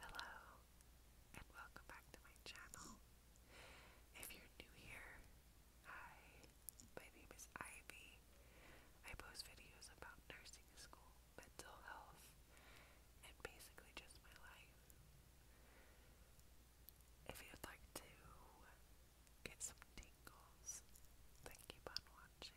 Hello, and welcome back to my channel. If you're new here, hi, my name is Ivy. I post videos about nursing school, mental health, and basically just my life. If you'd like to get some tingles, then keep on watching.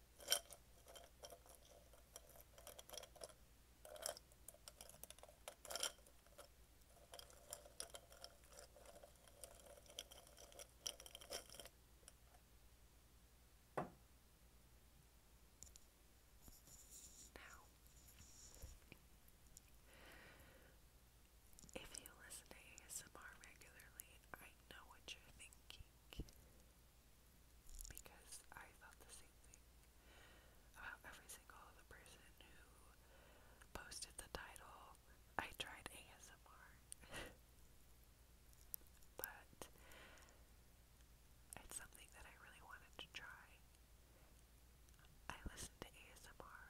Now, if you listen to ASMR regularly, I know what you're thinking because I thought the same thing about every single other person who posted the title, I tried ASMR. but it's something that I really wanted to try. I listen to ASMR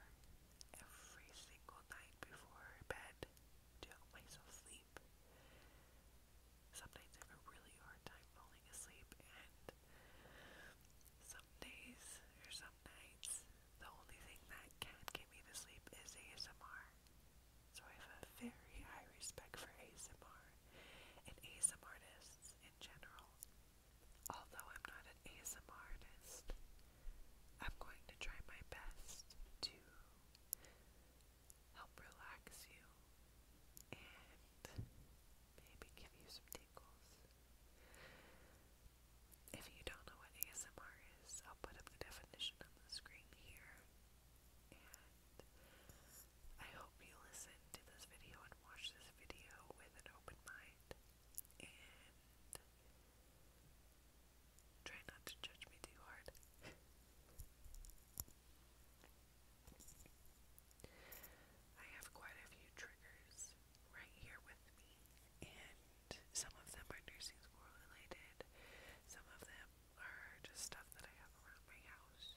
every single night before bed to help sleep asleep. I have a really hard time falling asleep, and some days or some nights, the only thing that can get me to sleep is ASMR. So I have a very high respect for ASMR and ASMR artists in general. Although I'm not an ASMR artist, I'm going to try my best to help relax you and maybe give you some tingles. If you don't know what ASMR is, I'll put up the definition on the screen here. And I hope you listen to this video and watch this video with an open mind. And try not to judge me too hard. I have quite a few triggers right here with me, and some of them are nursing school related, some of them are just stuff that I have around my house.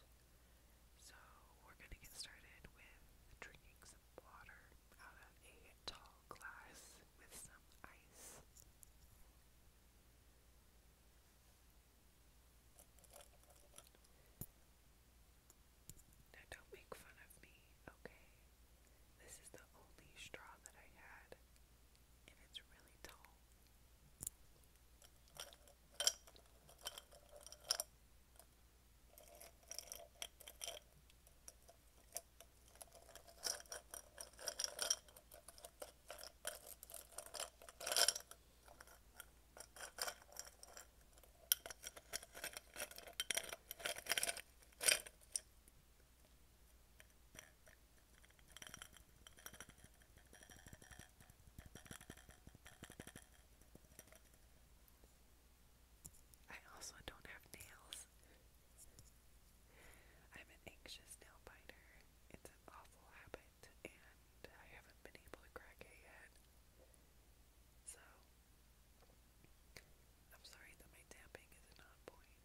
So, we're gonna get started with drinking some water out of a tall glass with some ice. Now, don't make fun of me, okay? This is the only straw that I had, and it's really tall. I also don't have nails. I'm an anxious nail biter awful habit, and I haven't been able to crack it yet. So, I'm sorry that my tapping isn't point.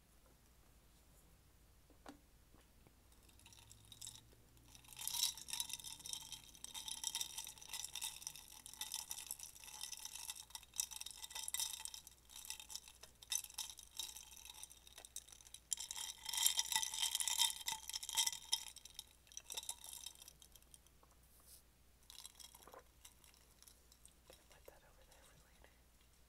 Put that over there for later.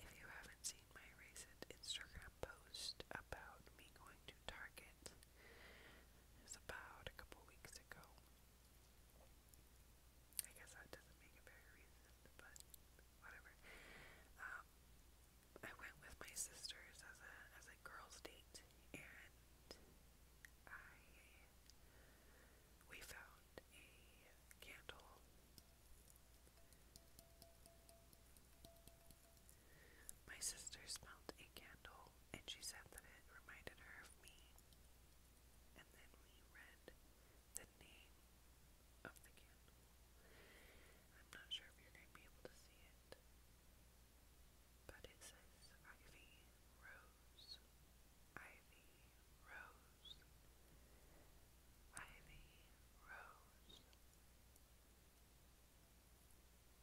if you haven't seen my recent Instagram post about me going to Target, it about a couple weeks ago. I guess that doesn't make it very recent, but whatever. Um, I went with my sisters as a as a girls' date, and I we found a candle my sister smelled a candle and she said that it reminded her of me. And then we read the name of the candle. I'm not sure if you're going to be able to see it, but it says Ivy Rose. Ivy Rose. Ivy Rose.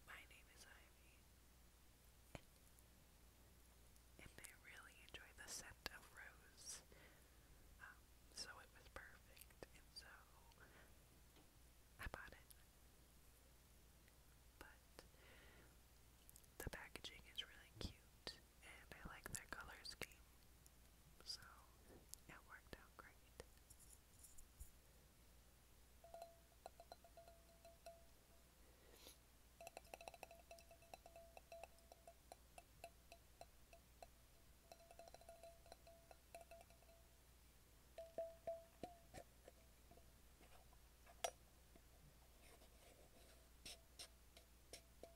My name is Ivy. And I really enjoy the scent of rose. Um, so it was perfect. And so I bought it. But the packaging is really cute and I like their color scheme, so it worked out great.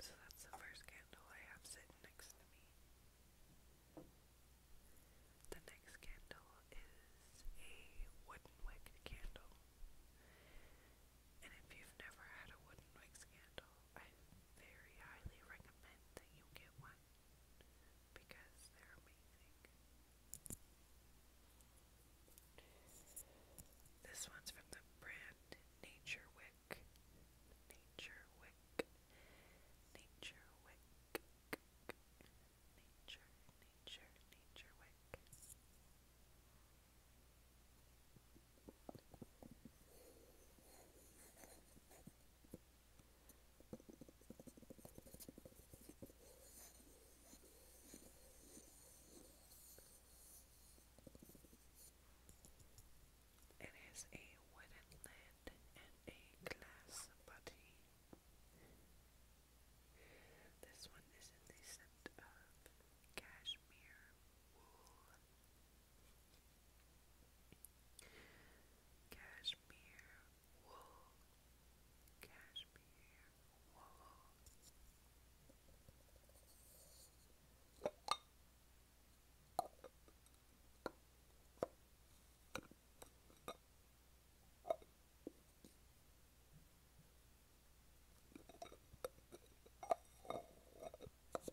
So that's the first candle I have sitting next to me. The next candle is a wooden wick candle. And if you've never had a wooden wick candle, I very highly recommend that you get one because they're amazing. This one's from the brand Nature Wick. Nature Wick. Nature Wick. Nature, nature, nature wick. It is a wooden lid and a glass body. This one is in the of cashmere wool. Cashmere wool, cashmere wool.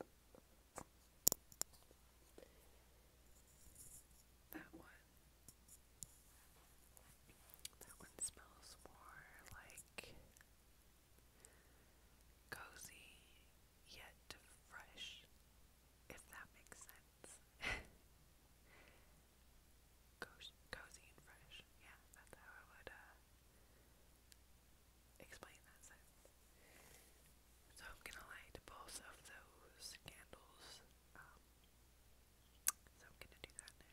That one. That one smells more like cozy yet fresh, if that makes sense. cozy and fresh, yeah, that's how I would uh, explain that So I'm gonna light both of those candles. Um, so I'm gonna do that now.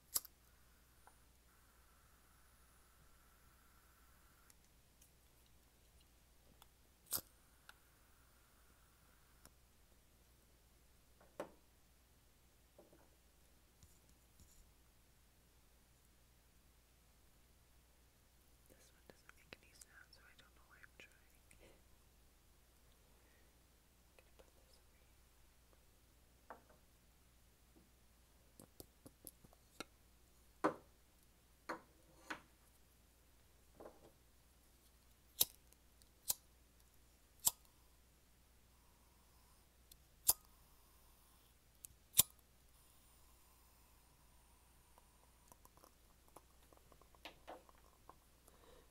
This one doesn't make any sound, so I don't know why I'm trying gonna put this over here.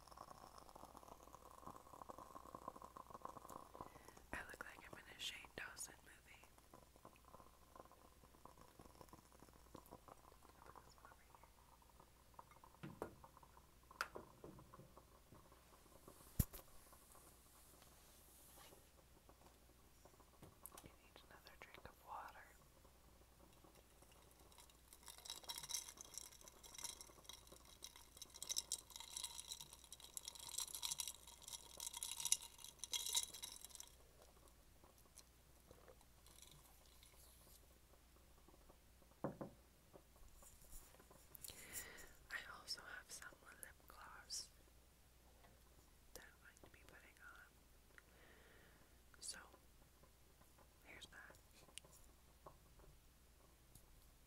I look like I'm in a Shane Dawson movie. You need another drink of water. I also have some lip gloss that I'm going to be putting on. So, here's that.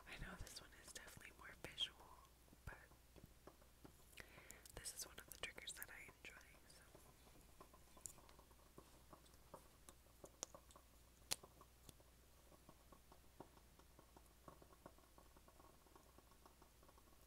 I know this one is definitely more visual, but this is one of the triggers that I enjoy,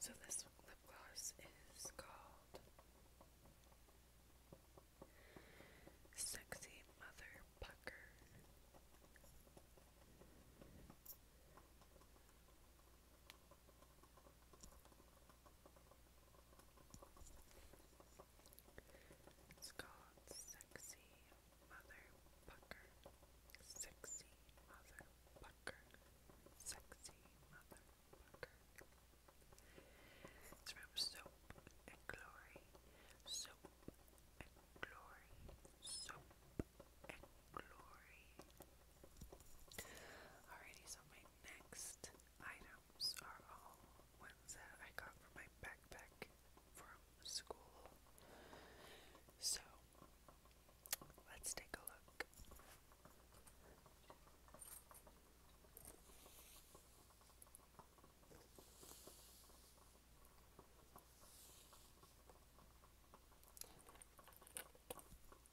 So this lip gloss is called Sexy Mother Pucker. It's Sexy Mother Pucker. Sexy Mother Pucker. Sexy Mother Pucker. It's from Soap and Glory. Soap and glory, soap and glory. Alrighty, so my next items are all ones that I got from my backpack from school. So let's take a look.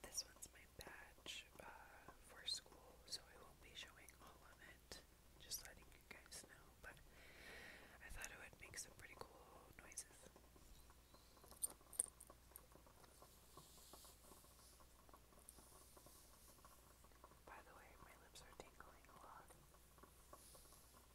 This one's my badge uh, for school, so I won't be showing all of it, just letting you guys know, but I thought it would make some pretty cool noises. By the way, my lips are tingling a lot.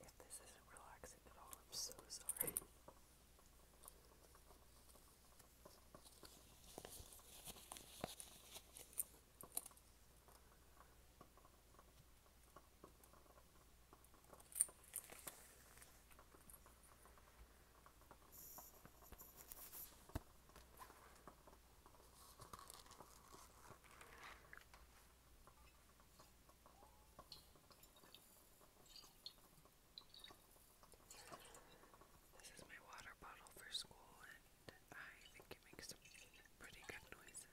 If this isn't relaxing at all, I'm so sorry. This is my water bottle for school, and I think it makes some pretty good noises.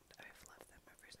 I've loved them ever since.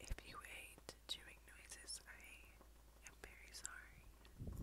If you hate chewing noises, I am very sorry.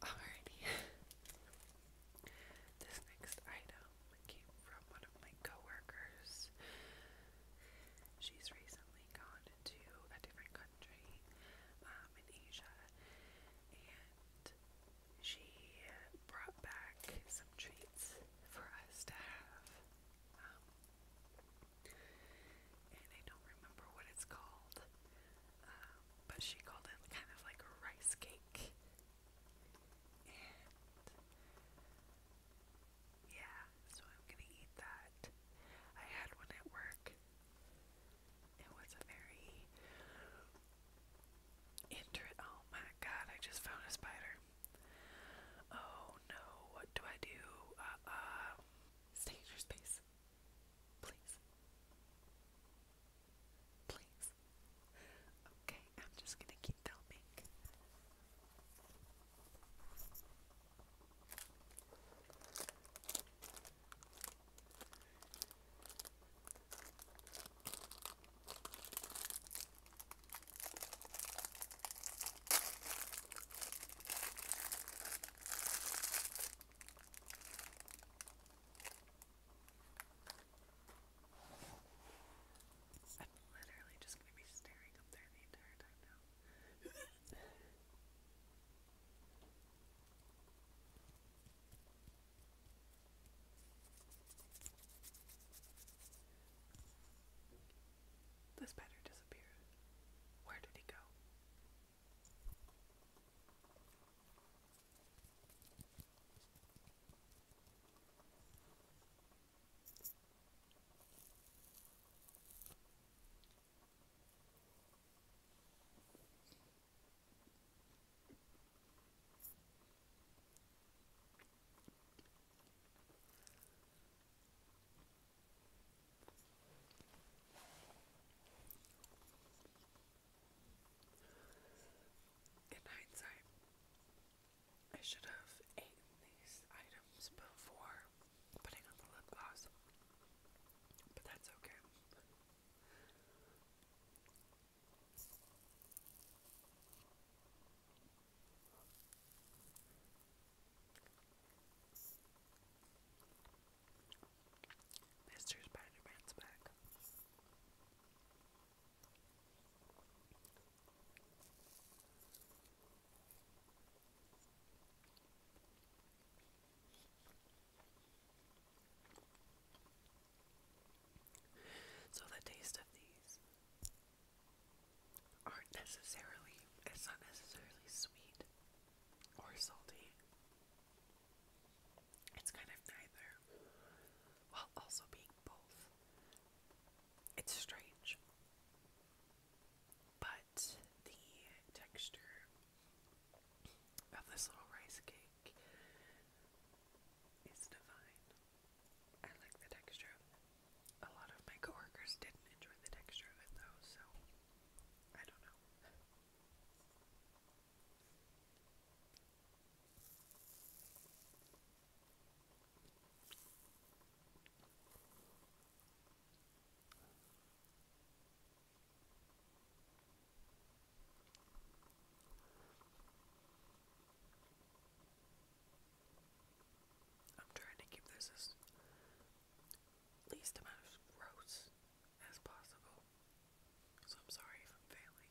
Very yummy. Alrighty. this next item came from one of my coworkers. She's recently gone to a different country um, in Asia, and she brought back some treats for us to have. Um, and I don't remember what it's called, um, but she called it kind of like a rice cake. yeah, so I'm gonna eat that. I had one at work it was very inter- oh my god, I just found a spider. Oh no, what do I do? Uh um, stay in your space. Please. Please. Okay, I'm just gonna keep filming. I'm literally just going to be staring up there the entire time now. This spider disappeared. Where did he go? In hindsight, I should have eaten these items before putting on the lip gloss, but that's okay. Mr. Spider-Man's back. So the taste of these aren't necessarily, it's not necessarily sweet or salty. It's kind of neither while also being both. It's strange. But the texture of this little rice cake is divine. I like the texture. A lot of my coworkers didn't enjoy the texture of it though, so I don't know. I'm trying to keep this as least amount of gross as possible. So I'm sorry if failing.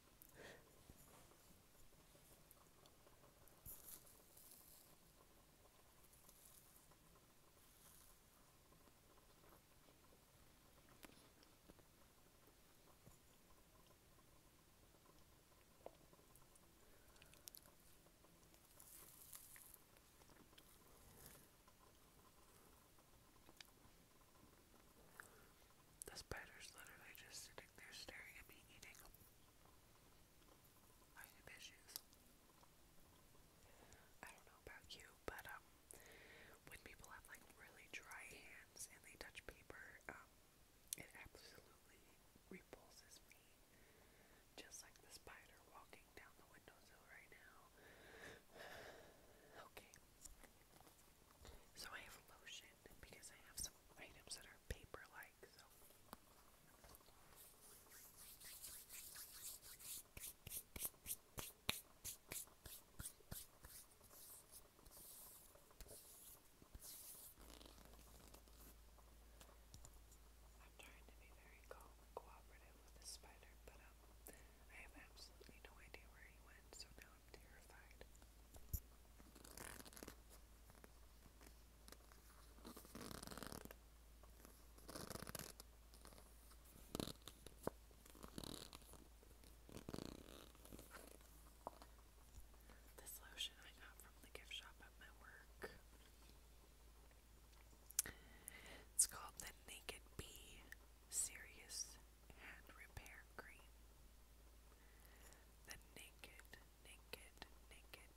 The spider's literally just sitting there staring at me eating. I have issues. I don't know about you, but um when people have like really dry hands and they touch paper, um, it absolutely repulses me. Just like the spider walking down the windowsill right now. Okay. So I have lotion because I have some items that are paper-like, so I'm trying to be very calm and cooperative with the spider, but um, I have absolutely no idea where he went, so now I'm terrified. All this lotion I got from the gift shop at my work. It's called the Naked Bee Serious Hand Repair Cream. The Naked, Naked, Naked,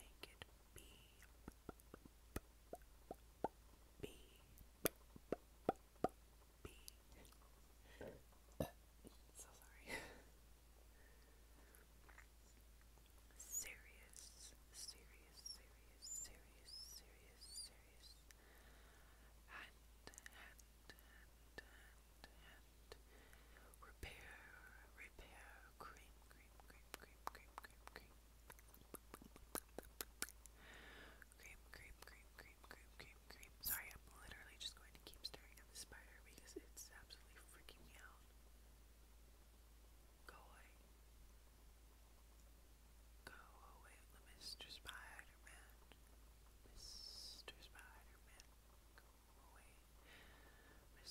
Naked Bee. Bee. Bee so sorry. serious, serious, serious, serious, serious, serious. And, and, and, and, and. Repair, repair, cream, cream, cream, cream, cream, cream cream, cream, cream, cream, cream, cream, cream. Sorry, I'm literally just going to keep staring at the spider because it's absolutely freaking me out. Go away. Go away, Mr. Mr. Go away. Mr.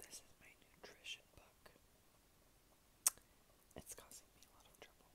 This is my nutrition book. It's causing me a lot of trouble.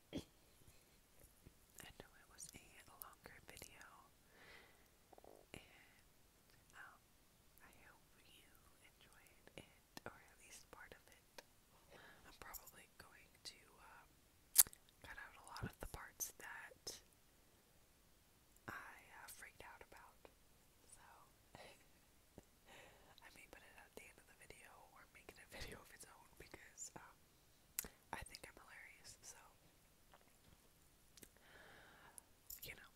I know it was a longer video, and um, I hope you enjoyed it, or at least part of it. I'm probably going to um, cut out a lot of the parts that I uh, freaked out about, so I may put it at the end of the video or make it a video of its own because um, I think I'm hilarious, so you know.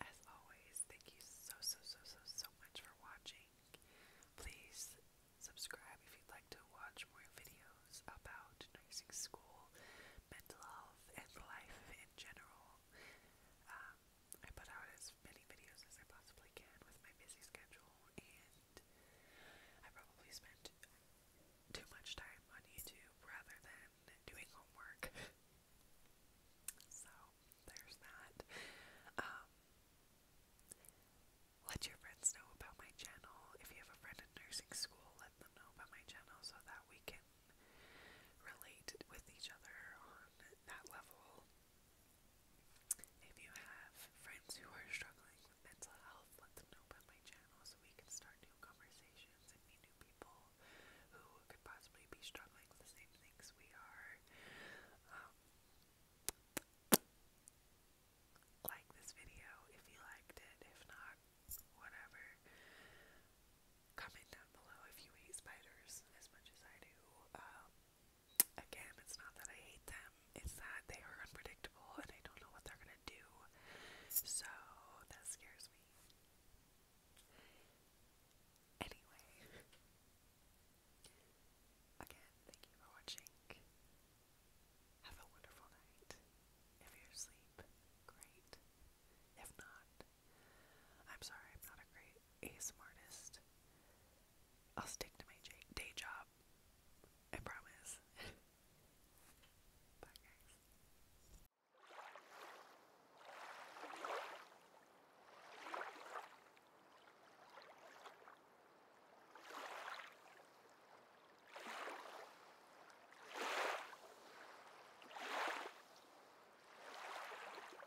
As always, thank you so so so so so much for watching. Please subscribe if you'd like to watch more videos about nursing school, mental health, and life in general. Um, I put out as many videos as I possibly can with my busy schedule, and I probably spent too much time on YouTube rather than doing homework. so, there's that. Um, let your friends know about my channel. If you have a friend in nursing school, let them know about my channel so that we can relate with each other on that level. If you have friends who are struggling with mental health, let them know about my channel so we can start new conversations and meet new people who could possibly be struggling with the same things we are. Um, like this video if you liked it, if not, whatever. Comment down below if you hate spiders as much as I do. Um, Again, it's not that I hate them, it's that they are unpredictable and I don't know what they're gonna do. So that scares me. Anyway, again, thank you for watching. Have a wonderful night. If you're asleep, great. If not, I'm sorry, I'm not a great ASMR artist. I'll stick to my day job. I promise. Bye, guys.